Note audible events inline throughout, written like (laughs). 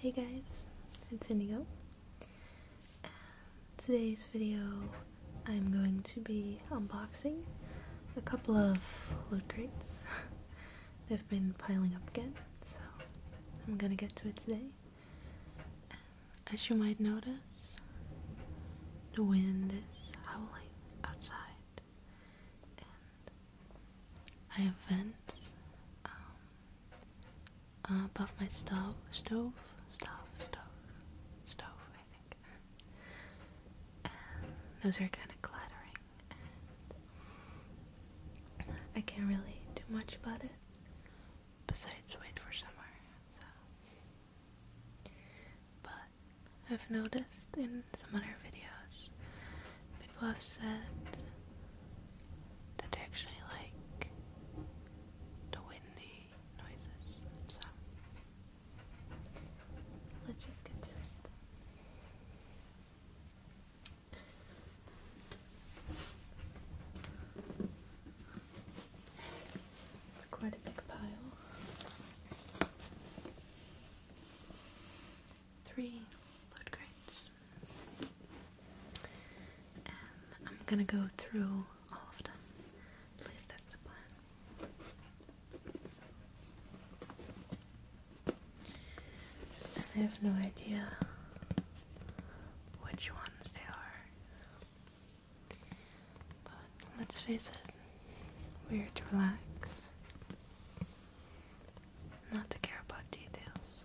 Hey guys, it's Indigo. Um, today's video, I'm going to be unboxing a couple of loot crates. (laughs) They've been piling up again, so I'm gonna get to it today. Um, as you might notice, the wind is howling outside, I have vents um, uh, above my stove, stove, stove, stove, stove, I think. those are kind of clattering, I can't really do much about it. Besides, wait for summer. but I've noticed in some other videos people have said that they actually like the windy noises. let's just get to it. It's quite a big pile three blood And I'm gonna go through all of them. At that's the plan. I have no idea which ones they are. But let's face it, we're to relax not to care about details.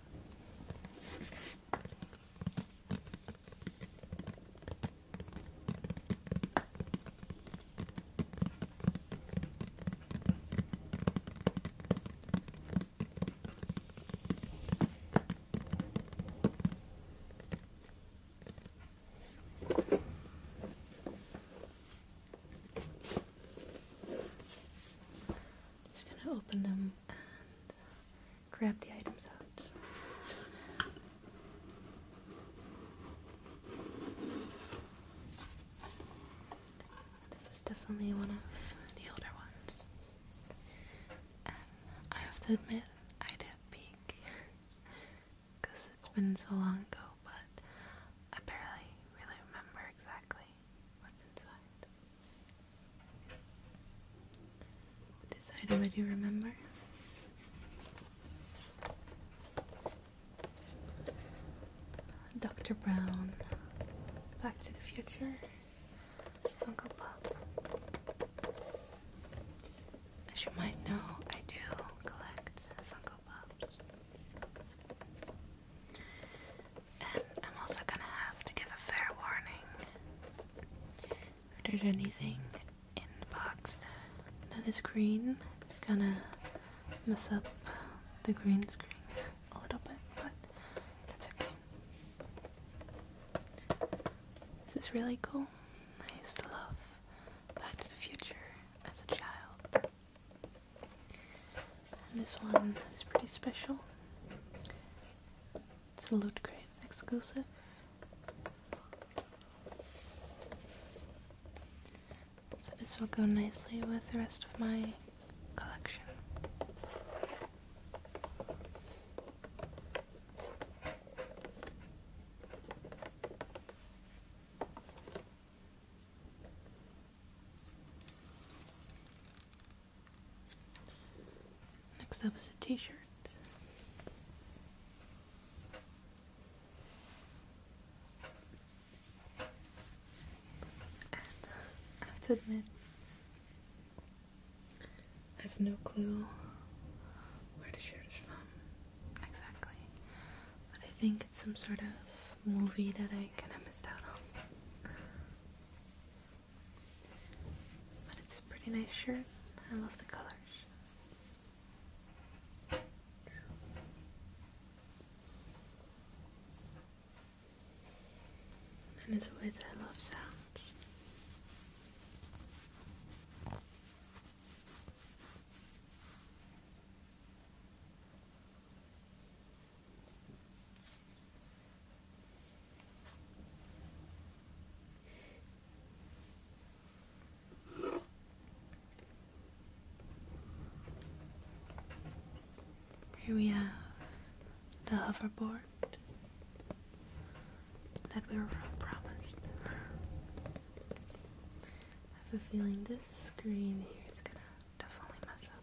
Just going to open them uh, grab the items out. This is definitely one of the older ones, and I have to admit I'd have peek because it's been so long ago, but I barely really remember exactly what's inside. This item I do remember. Dr. Brown, Back to the Future, Funko Pop. As you might know, I do collect Funko Pops. And I'm also gonna have to give a fair warning. If there's anything in the box that is green, it's gonna mess up the green screen a little bit, but that's okay. This is really cool. I used to love Back to the Future as a child. this one is pretty special. It's a look great, exclusive. So this will go nicely with the rest of my collection. Next up is a t-shirt. And I have to admit, I have no clue where the shirt is from exactly, but I think it's some sort of movie that I kind of missed out on. But it's a pretty nice shirt. I love the colors. And it's a way that I love sounds. Here we have the hoverboard that we were promised. I have a feeling this screen here is gonna definitely mess up,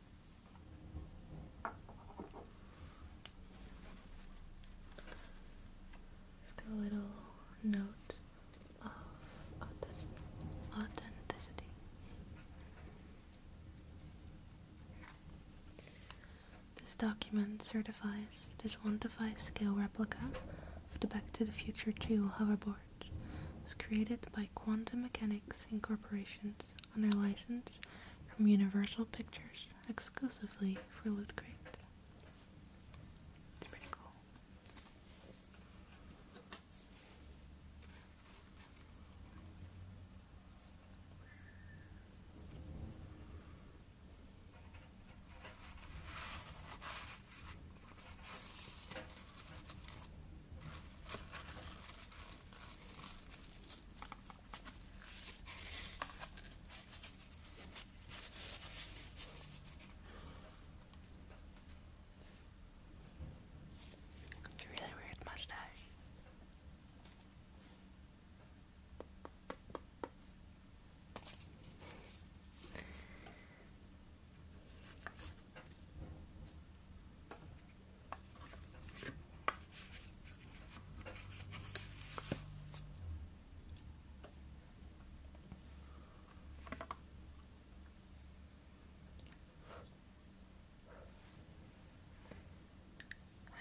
a little note of authenticity. This document certifies this 1 to 5 scale replica of the Back to the Future 2 hoverboard was created by Quantum Mechanics Incorporations under license from Universal Pictures exclusively for Loot Crate. It's pretty cool. It's a really weird mustache.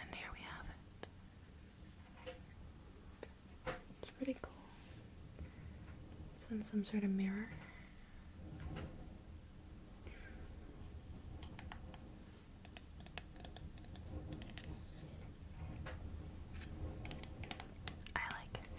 And here we have it. It's pretty cool. It's in some sort of mirror. I like it.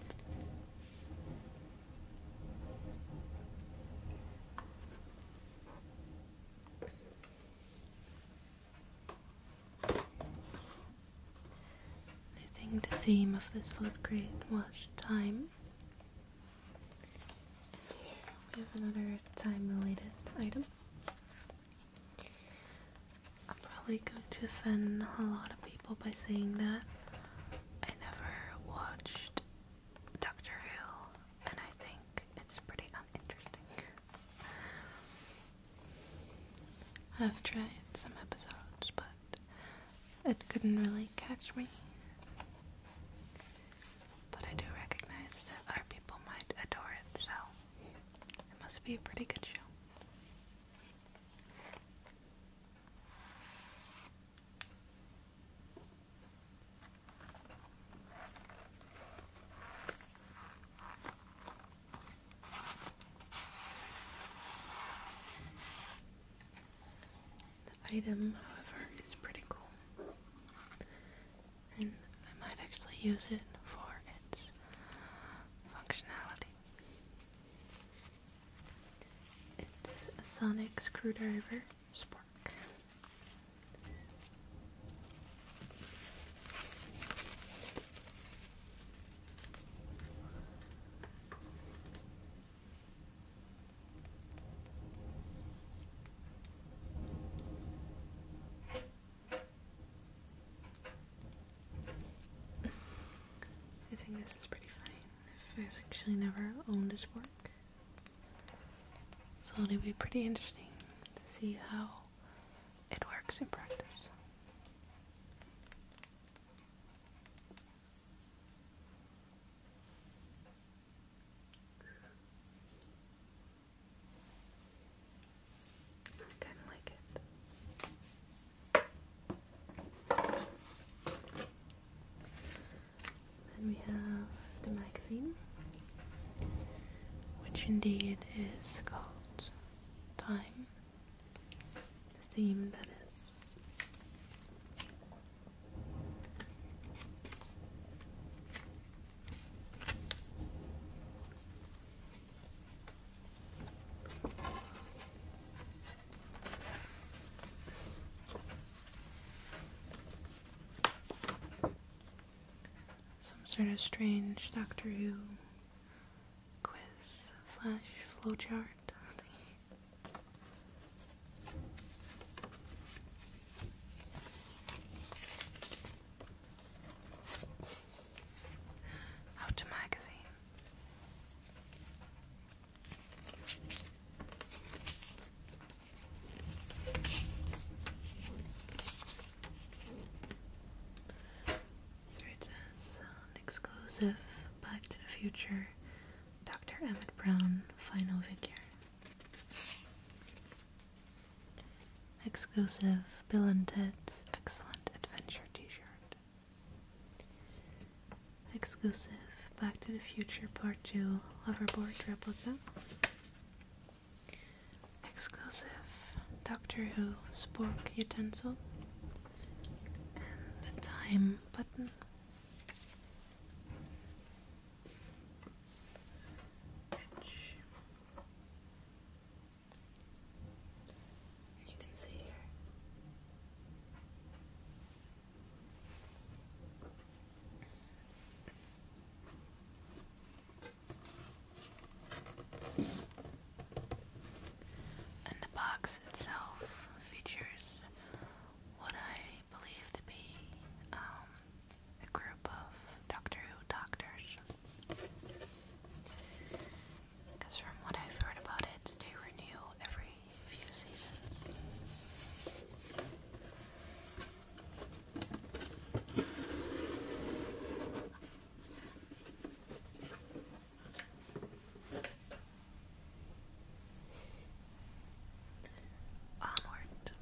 I think the theme of this third grade was time. And here we have another time related item. I'm probably going to offend a lot of people by saying that. I never watched Doctor Who, and I think it's pretty uninteresting. I've tried some episodes, but it couldn't really catch me. But I do recognize that other people might adore it, so it must be a pretty good show. The item, however, is pretty cool and I might actually use it for its functionality. It's a sonic screwdriver spark. I think this is pretty fine. I've actually never owned his work. So it'll be pretty interesting to see how it works in practice kind of like it. Then we have the magazine, which indeed is called Time, the theme that is. Some sort of strange Doctor Who quiz slash flowchart. Out to magazine. So it says uh, exclusive Back to the Future Dr. Emmett Brown final figure. Exclusive Bill and Ted's Excellent Adventure t-shirt. Exclusive Back to the Future Part 2 Hoverboard replica. Exclusive Doctor Who Spork utensil. And the time button. And you can see here. And the box itself features what I believe to be um, a group of Doctor Who doctors. Because from what I've heard about it, they renew every few seasons. Onward.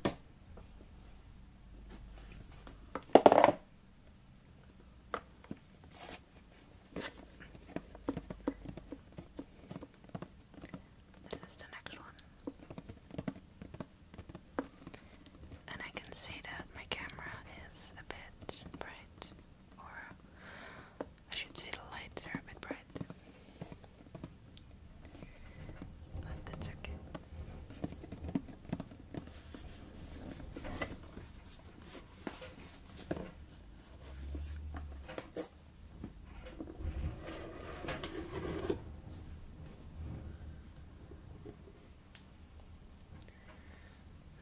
This is the next one. And I can see that my camera is a bit bright, or I should say the lights are a bit bright. But that's okay.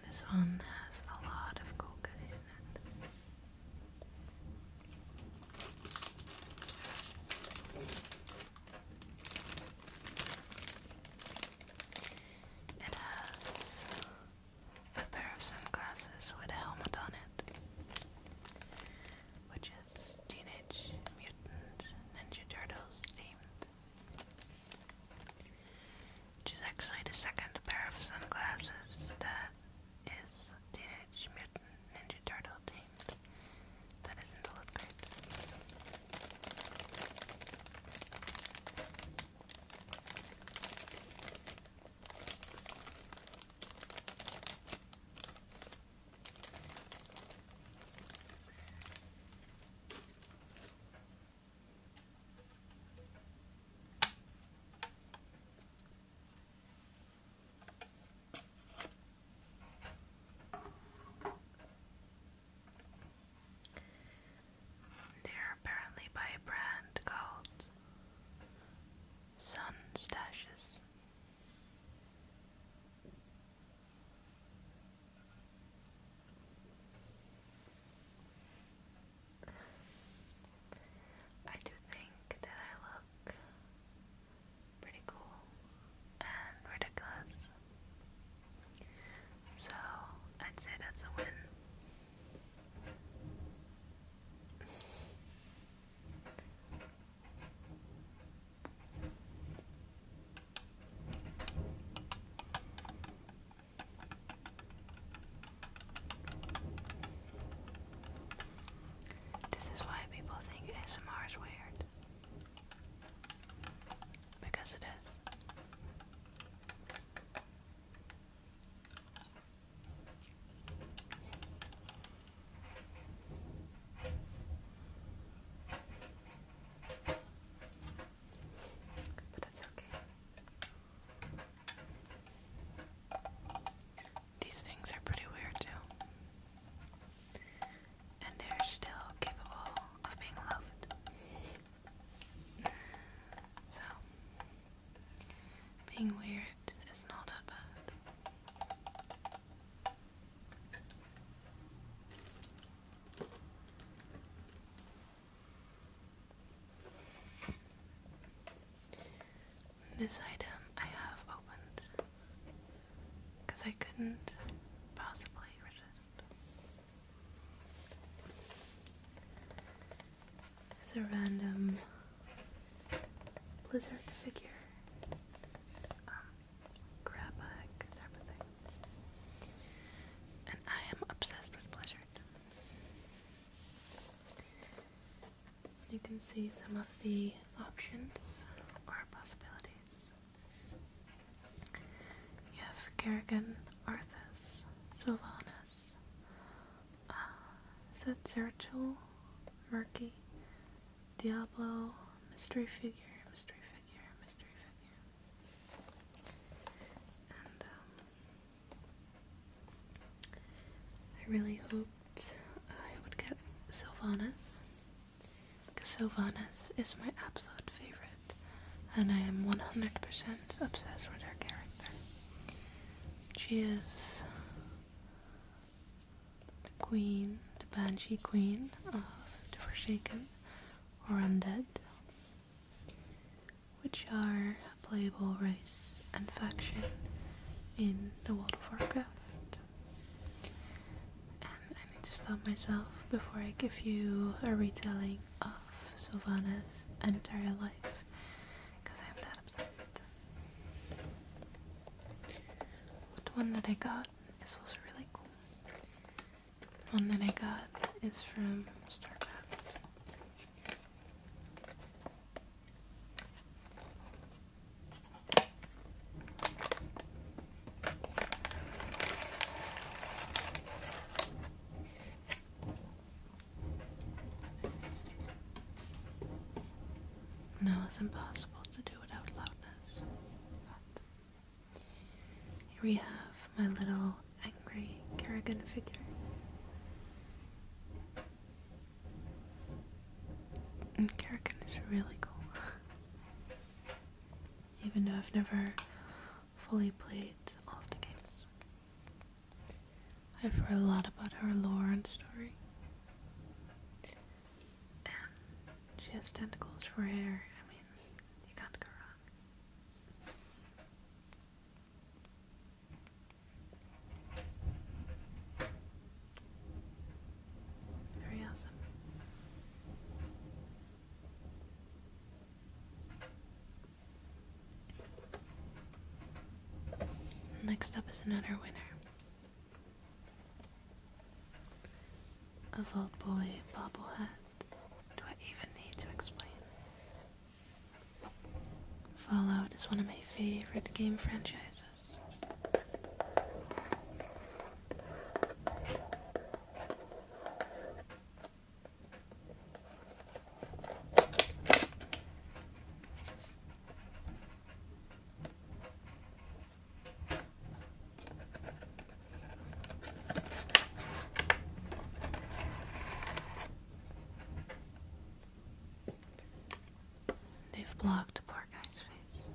This one has a lot of cocoa, isn't it? It has a pair of sunglasses with a helmet on it, which is Teenage Mutant Ninja Turtles themed. Which is actually the second pair of sunglasses that is Teenage Mutant Ninja Turtle themed. That isn't the loot they are apparently by a brand called Sun I do think that I look pretty cool and ridiculous. So I'd say that's a win. This is why people think ASMR is weird. Because it is. But it's okay. These things are pretty weird too and they're still capable of being loved. So, being weird is not that bad. This item I have opened because I couldn't possibly resist. There's a random blizzard figure. Um, grab bag type of thing. And I am obsessed with blizzard. You can see some of the options or possibilities. You Kerrigan, Arthas, Sylvanas, uh, Setzertul, Murky, Diablo, Mystery Figure, Mystery Figure, Mystery Figure. Um, I really hoped I would get Sylvanas. Sylvanas is my absolute favorite, and I am 100% obsessed with her character. She is the queen, the banshee queen of the Forsaken or Undead, which are a playable race and faction in the World of Warcraft. I need to stop myself before I give you a retelling of Sylvana's entire life because I'm that obsessed. What one that I got is also really cool. The one that I got is from Starbucks. Now it's impossible to do without loudness, here we have my little angry Kerrigan figure. And Kerrigan is really cool. (laughs) Even though I've never fully played all of the games. I've heard a lot about her lore and story. And she has tentacles for hair. I mean, you can't go wrong. Very awesome. Next up is another winner. A Vault Boy bobblehead. Do I even need to explain? Fallout is one of my favorite game franchises. They've blocked poor guy's face.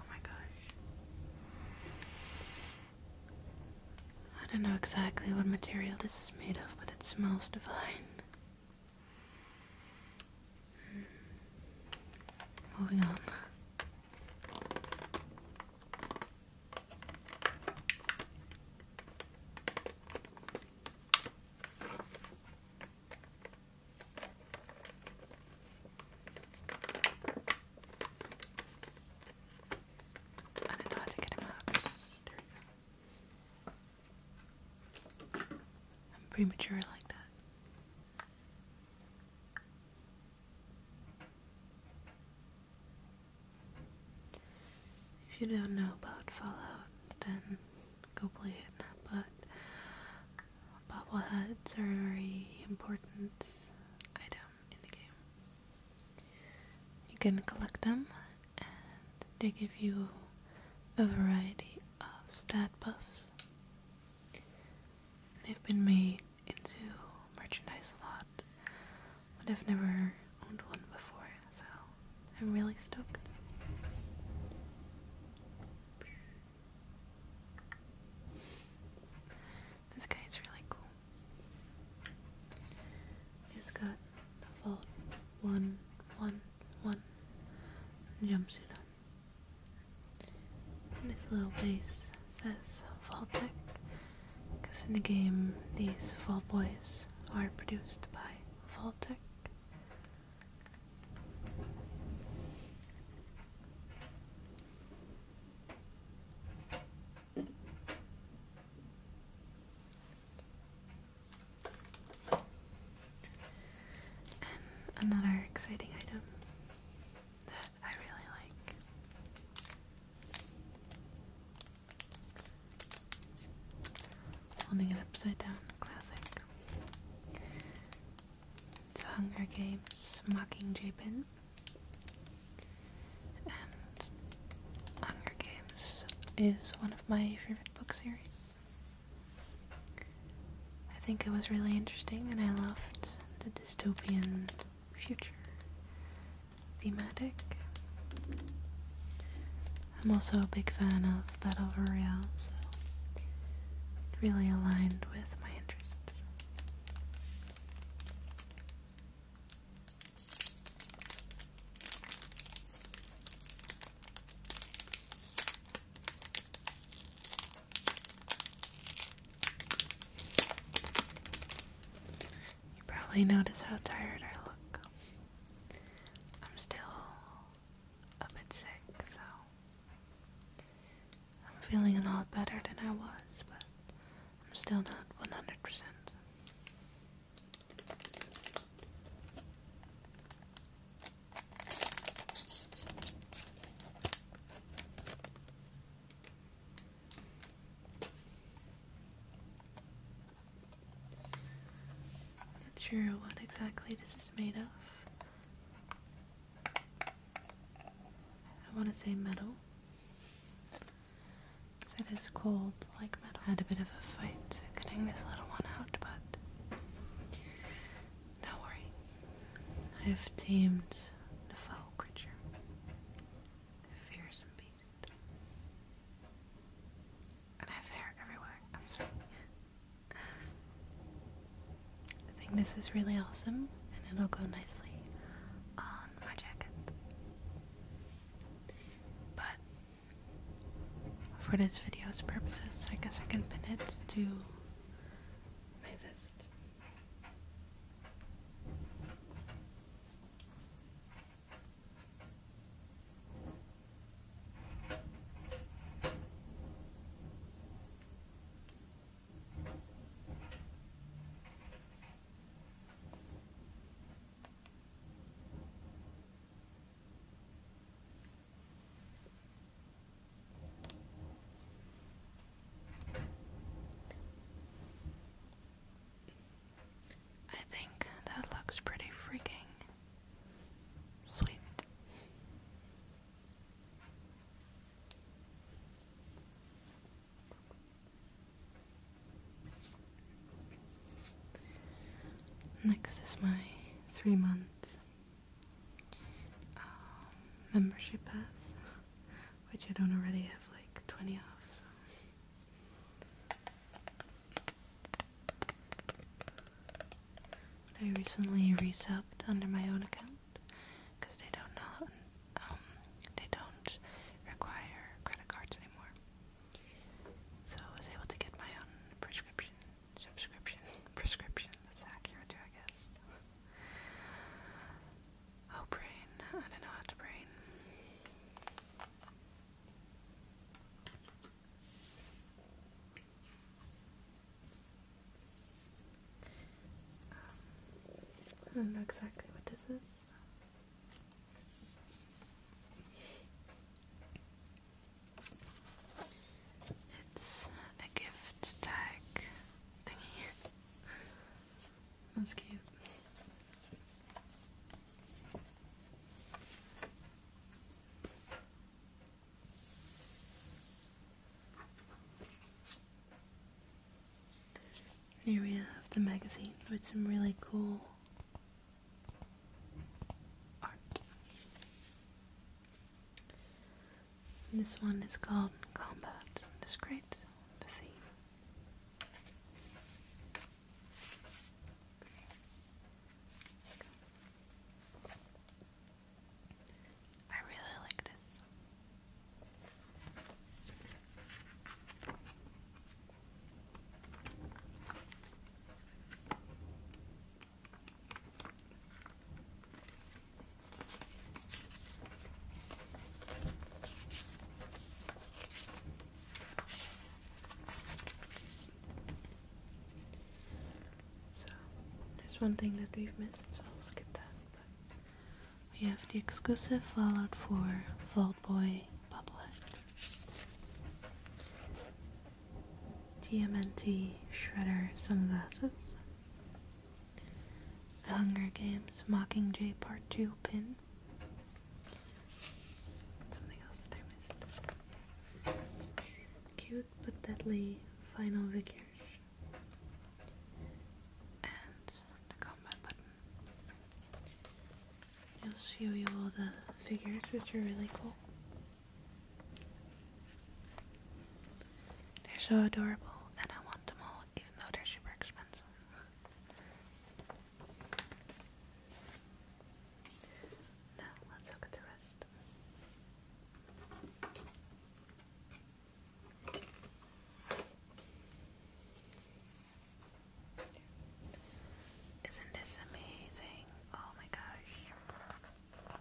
Oh my gosh. I don't know exactly what material this is made of, but it smells divine. Hmm. Moving on. I don't know how to get him out. I'm premature like that. If you don't know about Fallout, then go play it. But Bobbleheads are a very important item in the game. You can collect them and they give you a variety of stat buffs. They've been made into merchandise a lot, but I've never owned one before, so I'm really stoked. This guy is really cool. He's got the Vault 111 one, one, jumpsuit on. And little base says Fall Tech, because in the game these Fall Boys are produced by Fall Tech another exciting item that I really like. Holding it upside down, classic. Hunger Games Mockingjay And Hunger Games is one of my favorite book series. I think it was really interesting and I loved the dystopian future thematic. I'm also a big fan of Battle Royale, so it really aligned with my interests. You probably notice how tired I look. I'm still a bit sick, so I'm feeling a lot better than I was, but I'm still not 100%. Not sure what exactly this is made of. I want to say metal. because it is cold like metal. I had a bit of a fight getting this little one out, but do worry. I have tamed the foul creature. A fearsome beast. And I have hair everywhere. I'm sorry. (laughs) I think this is really awesome and it'll go nicely on my jacket. But for this video's purposes, I guess I can pin it to my vest. I think that looks pretty freaking sweet. Next is my three month um, membership pass, which I don't already have like 20 off. So. I recently resubbed under my own account because they don't um, they don't require credit cards anymore. So I was able to get my own prescription, subscription, (laughs) prescription. That's accurate I guess. oh, brain! I don't know how to brain. I don't know exactly what this is. It's a gift tag thingy. (laughs) That's cute. Area of the magazine with some really cool art. this one is called Combat. It's great, I really like this. So, there's one thing that we've missed, so I'll skip that we have the exclusive Fallout 4 Vault Boy bobblehead, TMNT Shredder sunglasses, The Hunger Games Mockingjay Part 2 pin, something else that I missed, cute but deadly final vigor and the combat button. It'll show you all the figures, which are really cool. They're so adorable, and I want them all, even though they're super expensive. Now, let's look at the rest. Isn't this amazing? Oh my gosh.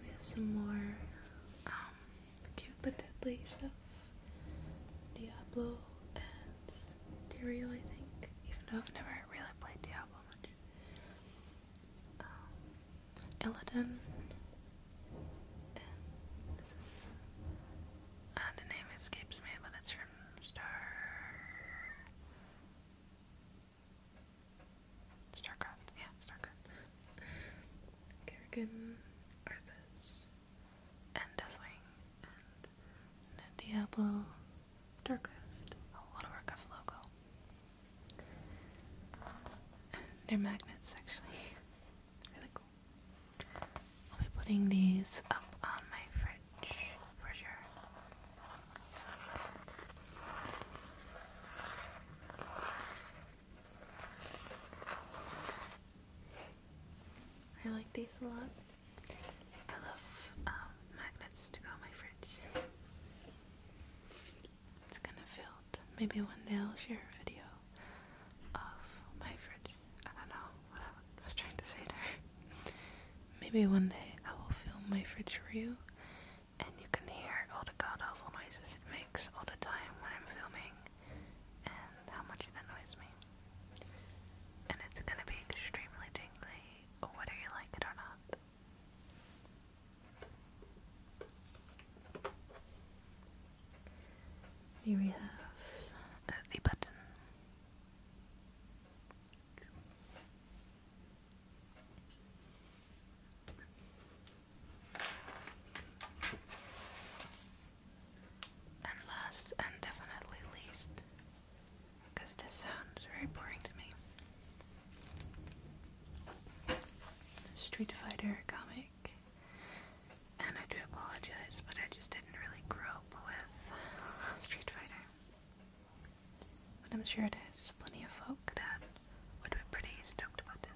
We have some more um, cupid deadly stuff. Diablo and Dario, I think. Even though I've never really played Diablo much. Um, Illidan, and uh, the name escapes me, but it's from Starcraft, yeah, Starcraft, Kerrigan, Arthas, and Deathwing, and Diablo, Starcraft, a lot of work logo. They're magnets, actually. really cool. I'll be putting these up on my fridge for sure. I like these a lot. I love um, magnets to go on my fridge. It's gonna fill. Maybe one day I'll share a video of my fridge. I don't know what I was trying to say there. Maybe one day I will film my fridge for you, and you can hear all the god awful noises it makes all the time when I'm filming, and how much it annoys me. And it's gonna be extremely tingly, whether you like it or not. Here we have uh, the button. And last and definitely least, because this sounds very boring to me, Street Fighter comic. And I do apologize, but I just didn't really grope with Street Fighter. But I'm sure there's plenty of folk that would be pretty stoked about this.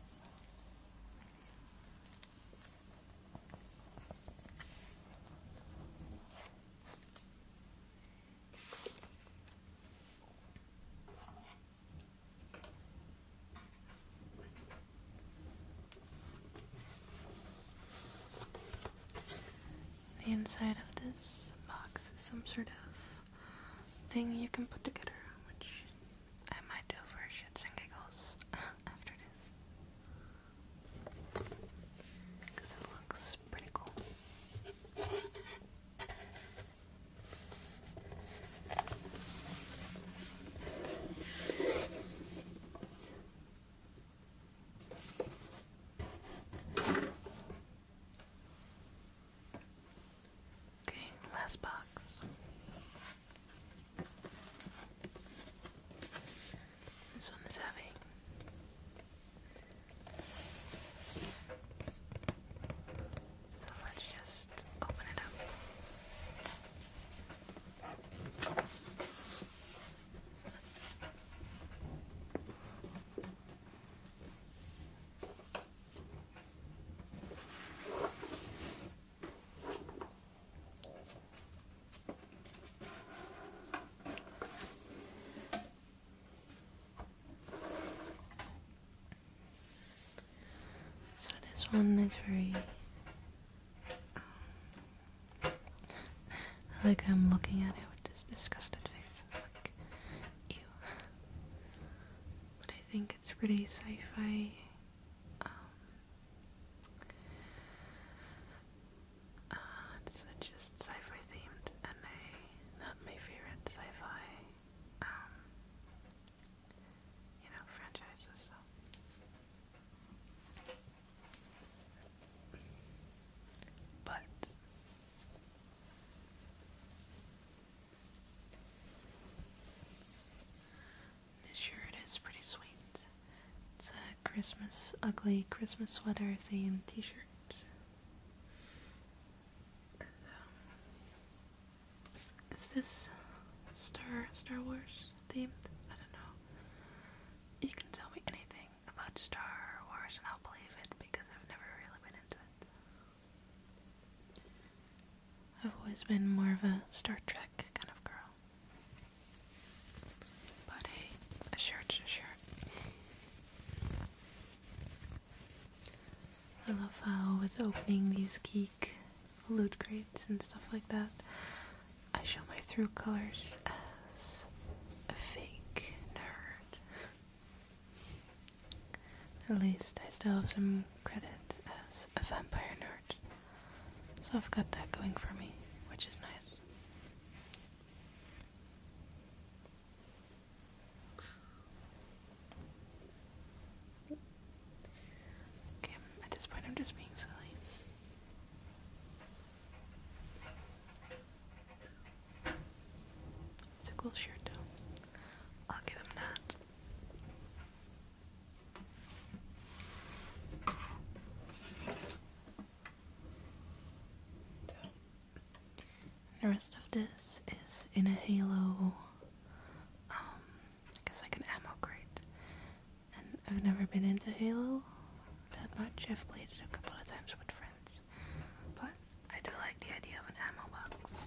The inside of this box is some sort of thing you can put together, which I might do for shits and giggles (laughs) after this. Because it looks pretty cool. Okay, last box. This one is heavy. So let's just open it up. So this one is very um, like I'm looking at it with this disgusted face, like ew. But I think it's pretty sci-fi. Um, uh, it's, just sci-fi themed, and I, not my favorite sci-fi um, you know, franchises. But this shirt is pretty sweet. It's a Christmas, ugly Christmas sweater themed t shirt is this Star Star Wars themed? I don't know. You can tell me anything about Star Wars and I'll believe it because I've never really been into it. I've always been more of a Star Trek kind of girl. But hey, a shirt's a I love how with opening these geek loot crates and stuff like that, I show my true colors as a fake nerd. At least I still have some credit as a vampire nerd. So I've got that going for me, which is nice. Okay, at this point I'm just being silly. It's a cool shirt though. I'll give him that. The rest of this is in a halo, um, I guess like an ammo crate. And I've never been into Halo that much. I've played it a couple of times with friends. But I do like the idea of an ammo box.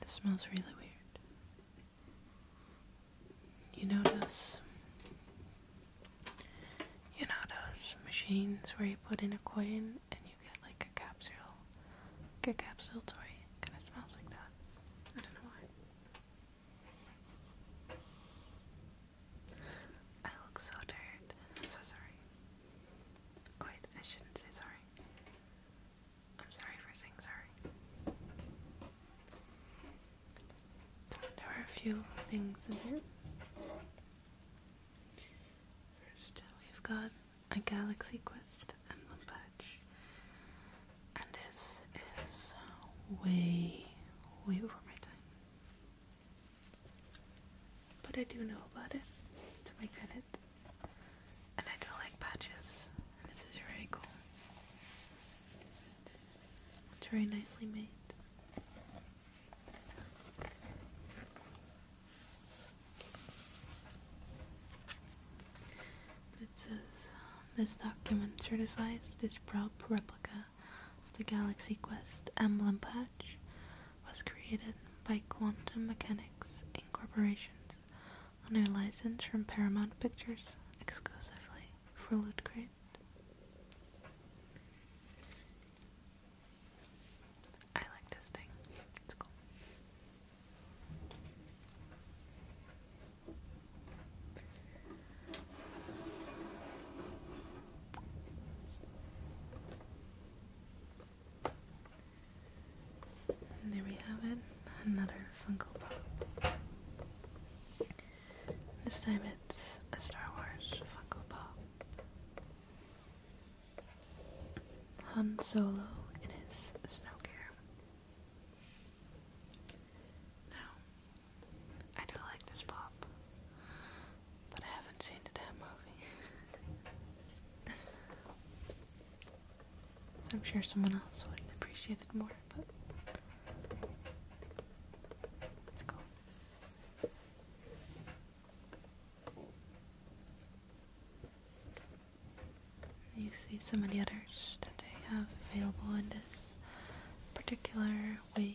This smells really weird. You notice you know those machines where you put in a coin and you get like a capsule. a capsule toy. Kinda smells like that. I don't know why. I look so tired. I'm so sorry. Wait, I shouldn't say sorry. I'm sorry for saying sorry. there are a few things in here. First, we've got a Galaxy Quest emblem patch. And this is way, way over my time. But I do know about it, to my credit. And I do like patches, and this is very cool. It's very nicely made. It says, this document certifies this prop replica of the Galaxy Quest emblem patch was created by Quantum Mechanics Incorporations under license from Paramount Pictures exclusively for Lootcrate. I like this thing. It's cool there we have it, another Funko Pop. This time it's a Star Wars Funko Pop. Han Solo in his snow gear. Now, I do like this pop, but I haven't seen the damn movie. (laughs) so I'm sure someone else would appreciate it more, but let's go. You see some of the others that they have available in this particular wave.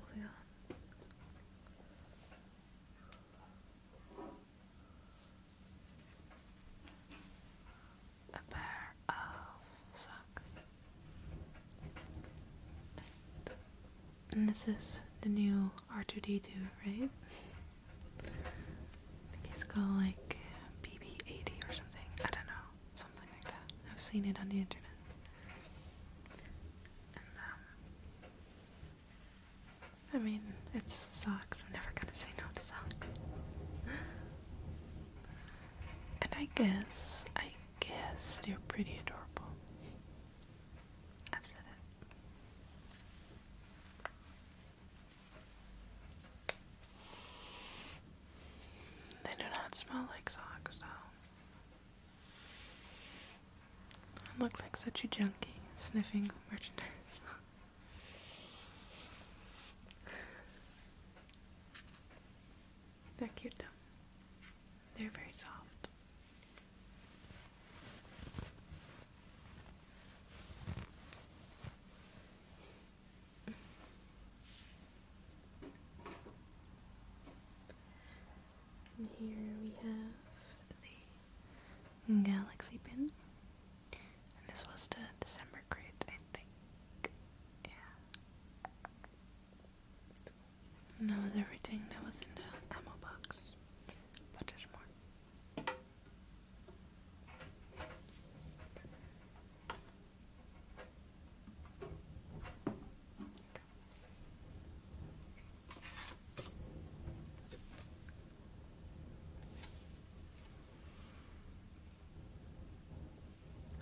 Moving on. A pair of sock. And this is the new R2D2, right? I think it's called like BB80 or something. I don't know. I've seen it on the internet. Um, I mean, it's socks. I'm never gonna say no to socks. and I guess, I guess they're pretty adorable. I've said it. They do not smell like socks, though look like such a junkie sniffing merchandise. They're cute though. They're very soft. And here we have the galaxy pin. And this was the December crate, I think. Yeah. And that was everything that was in the ammo box. But there's more.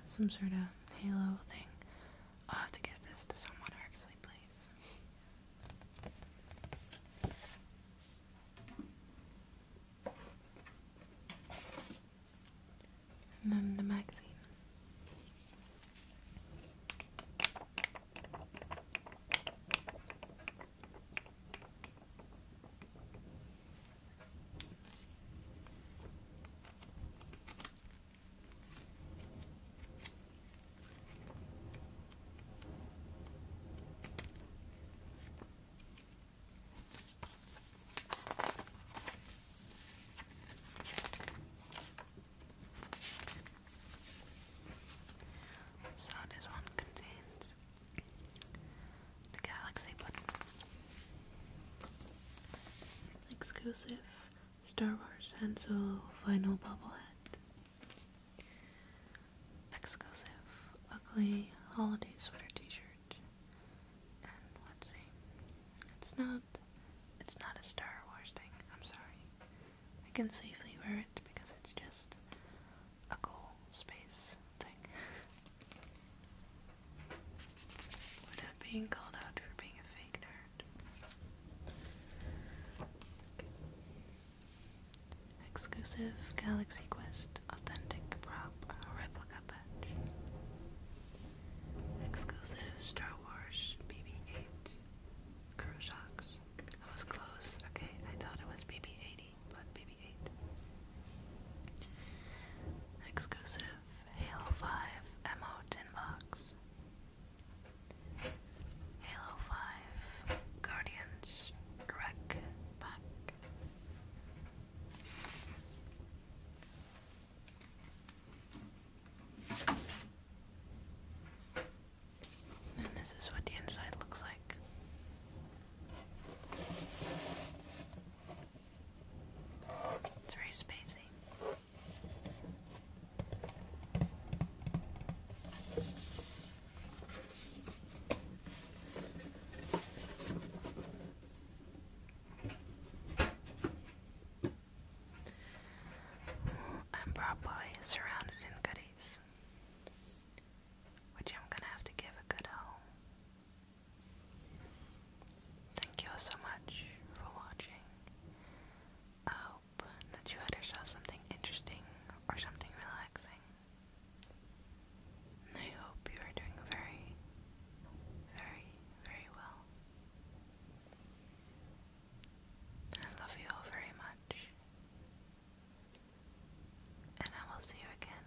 Some sort of halo thing. I'll have to get this to someone actually, please and then the magazine. So this one contains the galaxy button. Exclusive Star Wars and so vinyl bobblehead. Exclusive ugly holiday sweater t-shirt. And let's see. It's not it's not a Star Wars thing, I'm sorry. I can safely wear it because it's just a cool space thing. (laughs) Without being called out for being a fake nerd. Exclusive Galaxy Quest Authentic Prop Replica Patch. Exclusive Star Wars BB-8 crew socks. I was close. Okay, I thought it was BB-80, but BB-8. Exclusive Halo 5 ammo tin box. Halo 5 Guardians Wreck Pack. And this is what the inside looks like. It's very spacey. I'm probably surrounded in goodies, which I'm gonna have to give a good home. Thank you all so much for watching. I hope that you had yourself something interesting or something relaxing. I hope you are doing very, very, very well. I love you all very much. And I will see you again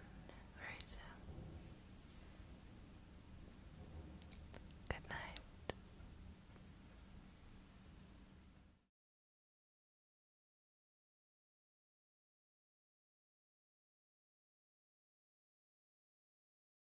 very soon. Good night.